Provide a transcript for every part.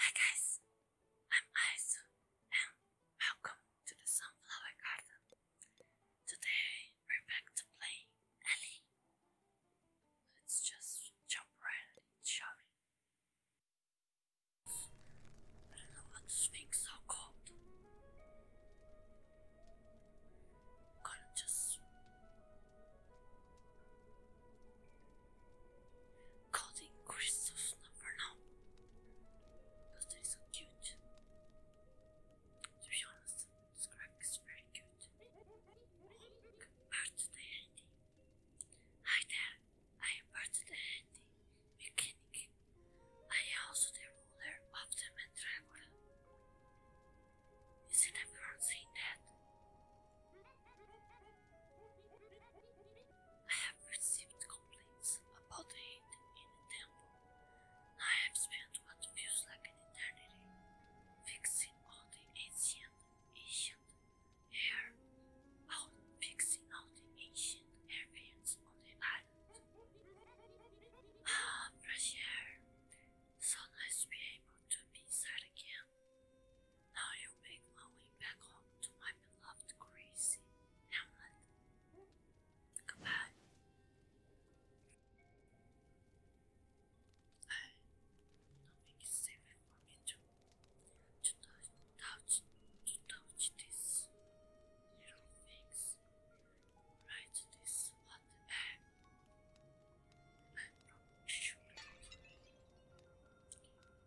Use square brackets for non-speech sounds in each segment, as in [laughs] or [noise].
Hi guys, I'm Aizu and welcome to the Sunflower Garden. Today we're back to play Ellie. Let's just jump right in, shall we? I don't so cold. Gotta just Calling Christoph's number now. Because that is so cute. To be honest, this crack is very cute. Look, birthday Andy. Hi there, I am birthday Andy, mechanic. I am also the ruler of the Mandragora. You've never seen that? I have received complaints about the heat in the temple. I have spent what feels like an eternity fixing all the ancient, ancient hair, out fixing all the ancient hairpins on the island. Ah, fresh air! So nice to be able to be sad again. Now I'll make my way back home to my beloved Gracie Hamlet. Goodbye. I nothing is safe for me to to touch to touch these little things. Right this what I'm not sure.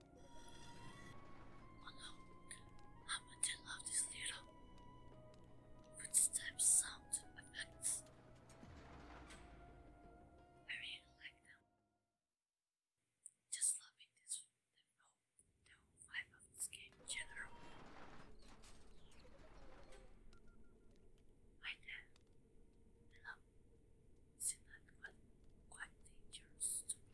Oh no, how much I love this little footstep sound effects. I really like them. Just loving this the whole, the whole vibe of this game in general. I then love it's not quite, quite dangerous to be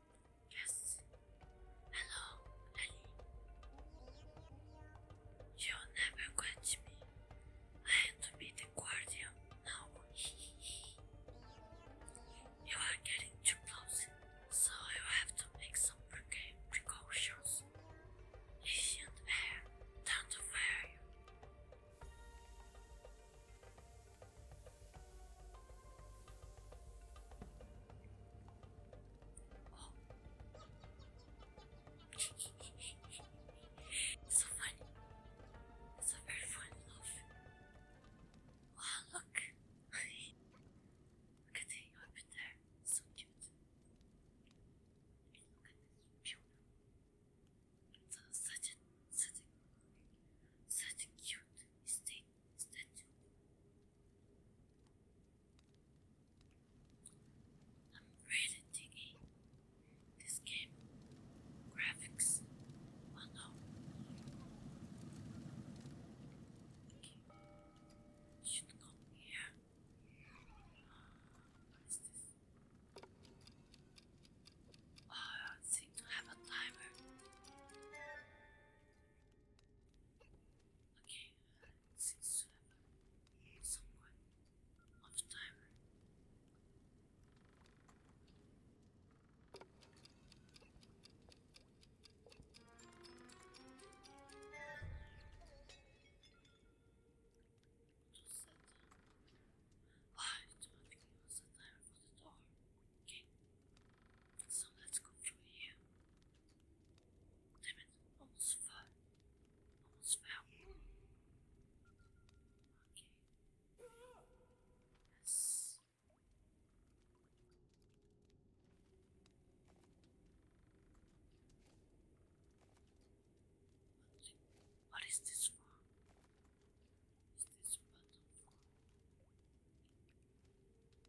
Yes. Hello, Ellie. You'll never catch me. I have to be the guardian now. [laughs] you are getting too close, so you have to make some precautions. Ancient air, down to fire Oh. so funny. It's very funny Wow, look. [laughs] look at the orbit there. So cute. look at this beautiful. It's such a, such a, such a cute mistake. I'm really digging this game graphics. Oh Should go here. What is this? Oh, I seem to have a timer. Okay, since you have somewhat of time. Just set. I don't think it was the time for the door. Okay. So let's go through here. Damn it, almost fell. Almost fell. Okay. Yes. What is this for? Is this button for?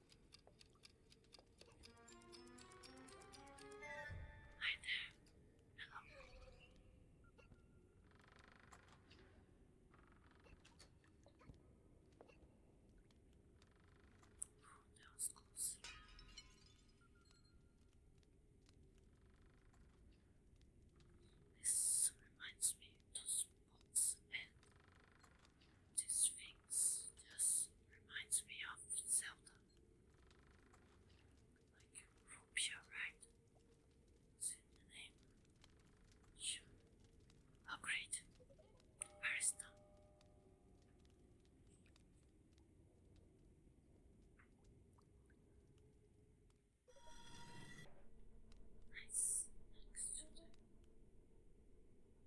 Hi there. Hello. Oh, that was This reminds me of spots the Sphinx just reminds me of Zelda. Like Rupia, right? Is Sure. Oh great. Nice.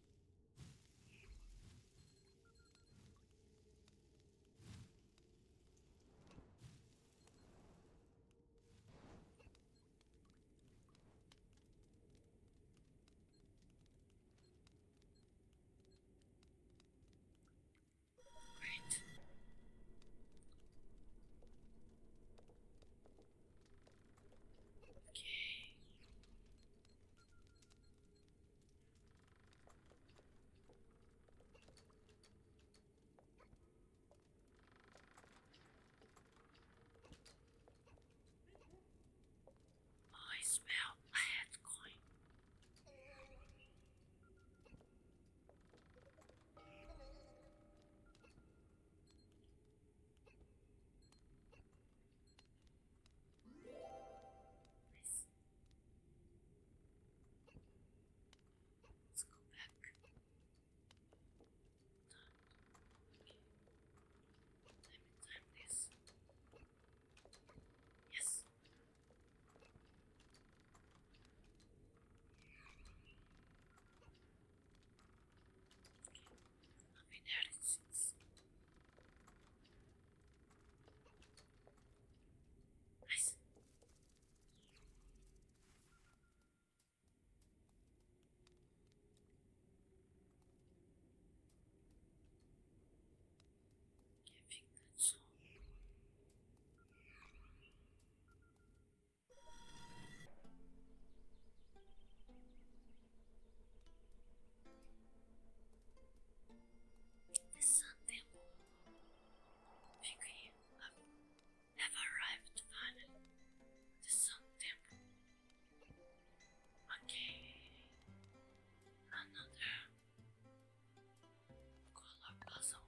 Great. Okay. I smell lead coin. Let's go back. Okay. Time and time this. Yes. Okay analysis. Nice. Giving control. The sun temple Shikri have arrived The sun temple. Okay. Another color puzzle.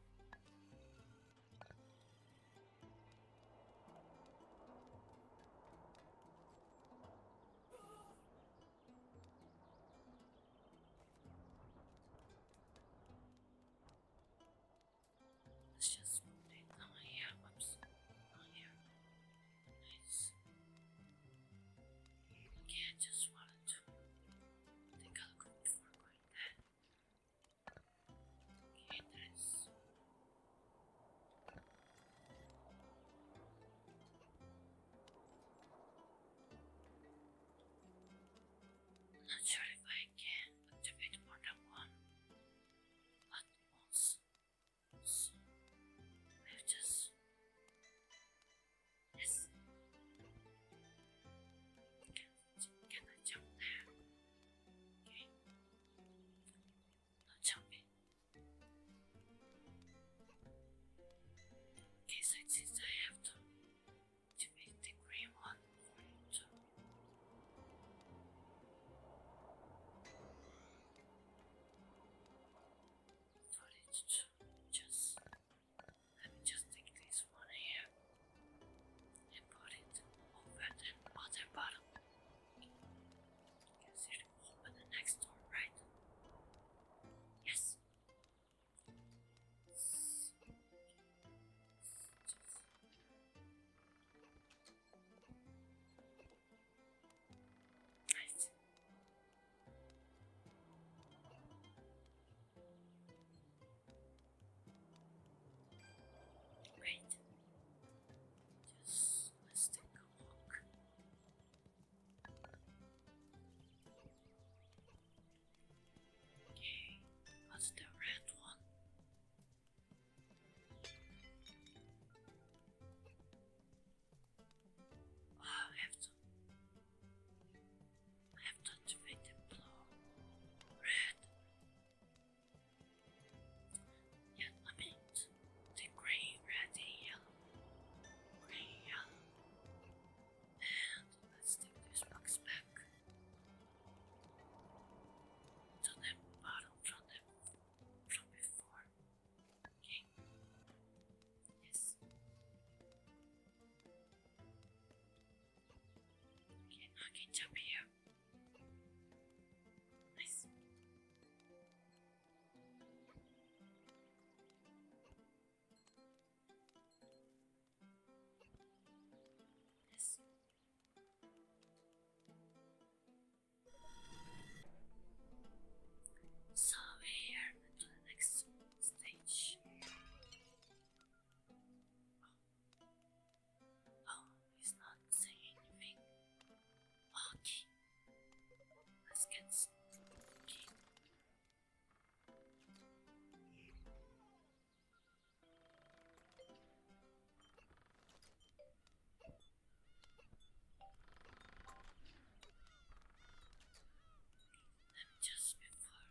Let's just move it. Oh yeah, whoops. Oh yeah. Nice. Okay, I just wanted to take a look before going there. Okay, nice. Not sure if I can activate more than one, but also, i just yes. Can, can I jump there? Don't Okay, so I have to, to make one for you For it to just let me just take this one here and put it over the bottom open the next door, right? Yes. Nice. Great. Just let's take a look. Okay, what's the red one? Oh, I have to I have to activate the blue red. Yeah, I mean the grey, red, and yellow. Grey, yellow. And let's take this box back to the bottom from the from before. Okay. Yes. So we the next stage. Oh. Oh. He's not saying anything. Okay. Let's get spooky. just before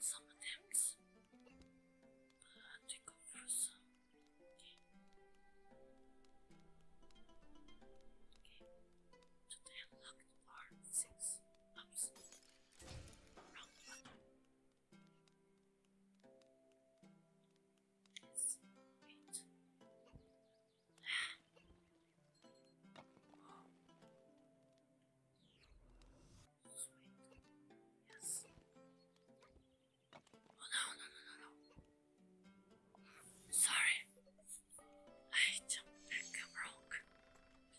Some attempts, but I have to go through some. Okay. So they unlock the bar six ups. Round one. Yes. Wait. Yes. Oh no, no, no, no, no. Sorry. I jumped back and wrong. To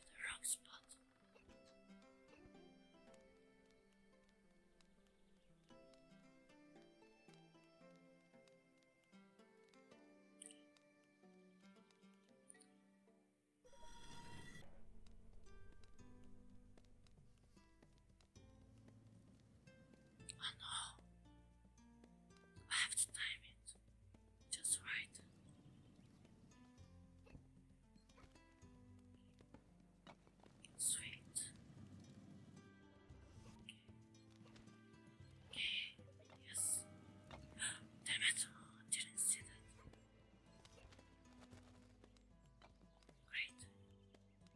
the wrong spot. Oh no! I have to time it just right. Sweet. Okay. Yes. Damn it! didn't see that. Great.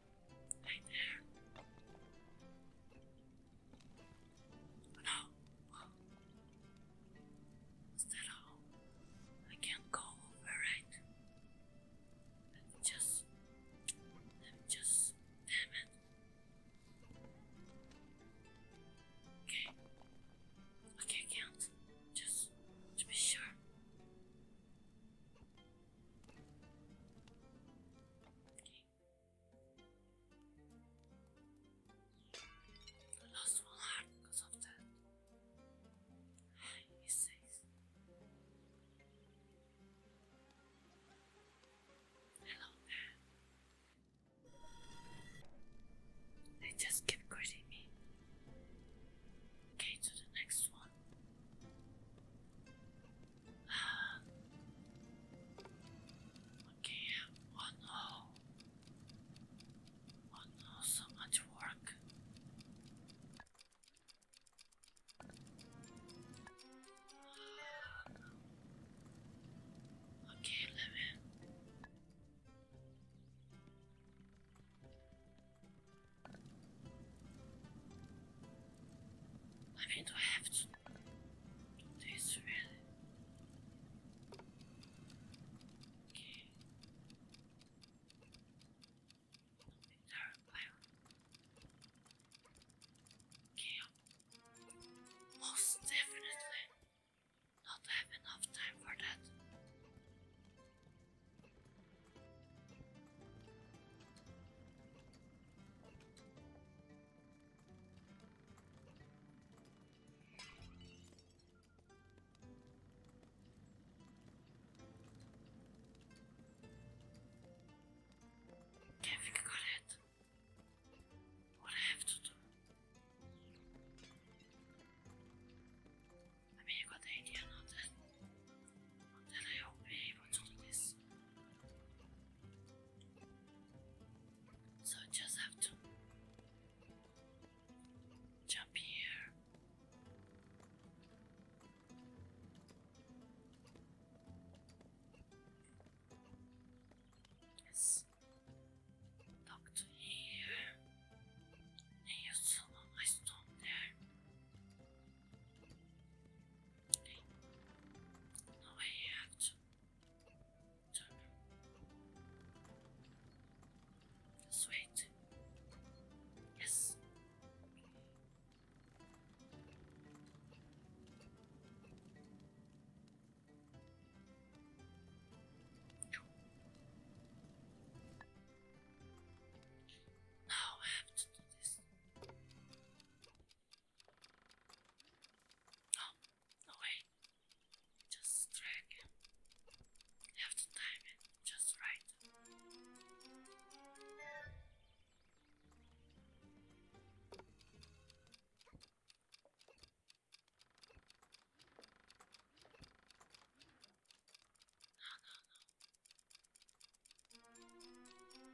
Right there. no! I can't go over, right? Let me just. Let me just. Damn it. Okay. Okay, I Just to be sure. You lost one heart because of that. Hello They just keep greeting me. Okay, to the next one. Okay, oh no. Oh no, so much work. Okay, let me. I mean, I have to do this really? Okay. Okay, most definitely not have enough time for that. Okay, I think I What have to do. I mean, you got the idea now that and I hope everyone's on this. So just have to jump here. Yes. Talk here. you saw my stone there. Now I have to turn Yes. I have to do this. Oh, no wait. Just drag. have to time it just right. No, no, no.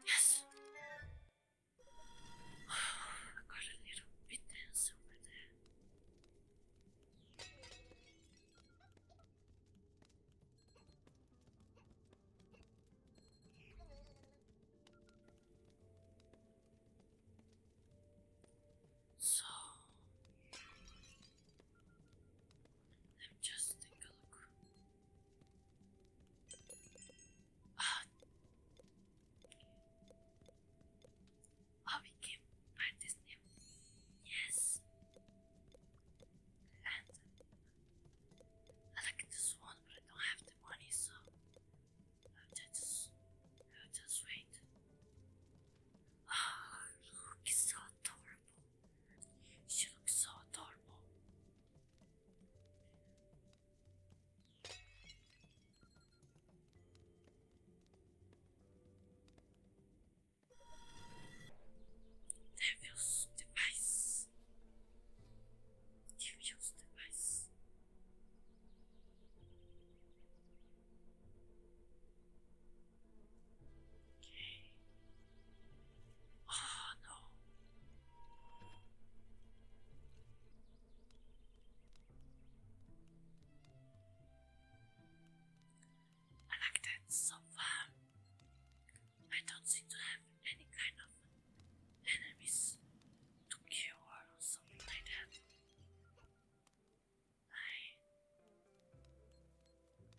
Yes. [sighs] I got a little witness over there. So let me just take a look. Oh, we can find this Yes! And I like this one, but I don't have the money, so I'll just, I'll just wait. oh, look, it's so adorable. She looks so adorable. Devil's device. Devil's device. Okay. Ah, no. I like that so far. I don't seem to have any kind of enemies to kill or something like that. I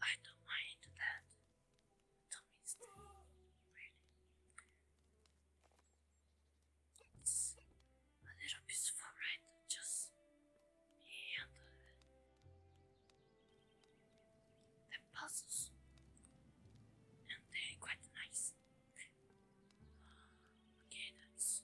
I don't mind that the It's a little peaceful, right? Just me and the, puzzles, and they're quite nice. okay, that's.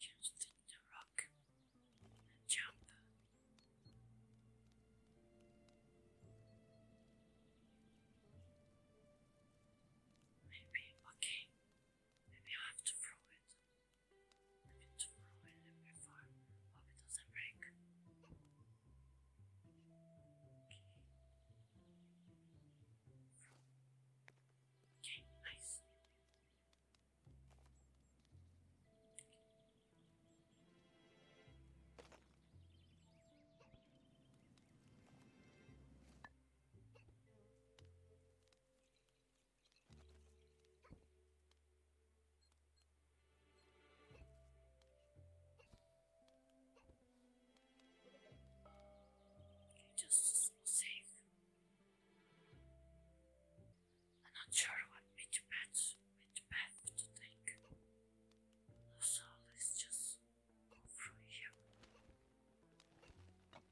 Just hit the rock and jump. Maybe, okay. Maybe I have to throw it. I have to throw it before. Hope it doesn't break. Okay. Okay, nice. Justice will save. I'm not sure what which path which path to take. So let's just go through here before okay.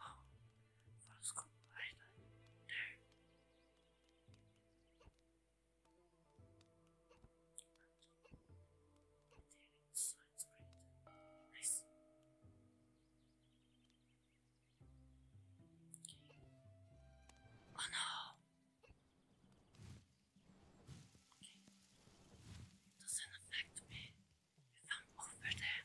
Oh, go right there. So it's Oh no! Okay. doesn't affect me if I'm over there.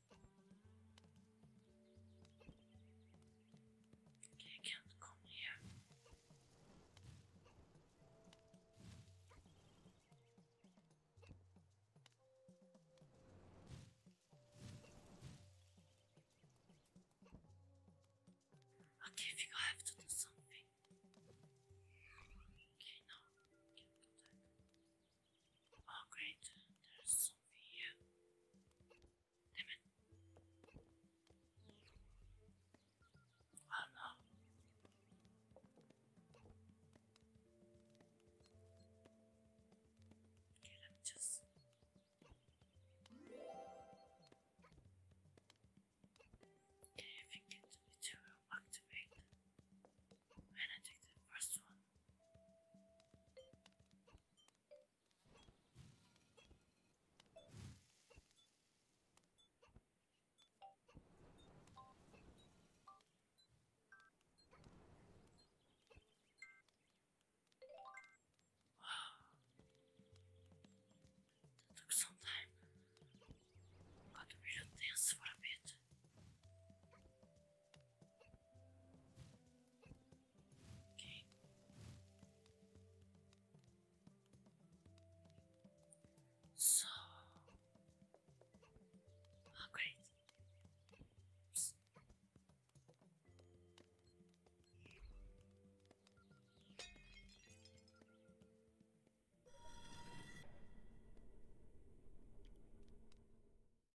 Okay, I can't come here. Okay, I think I have to do something. Okay, no, Oh, great, there's else over Damn it. Oh no. just. Okay, I think it, it will activate when I take the first one took some time. Got to build this for a bit. Okay. So, oh great. Oops.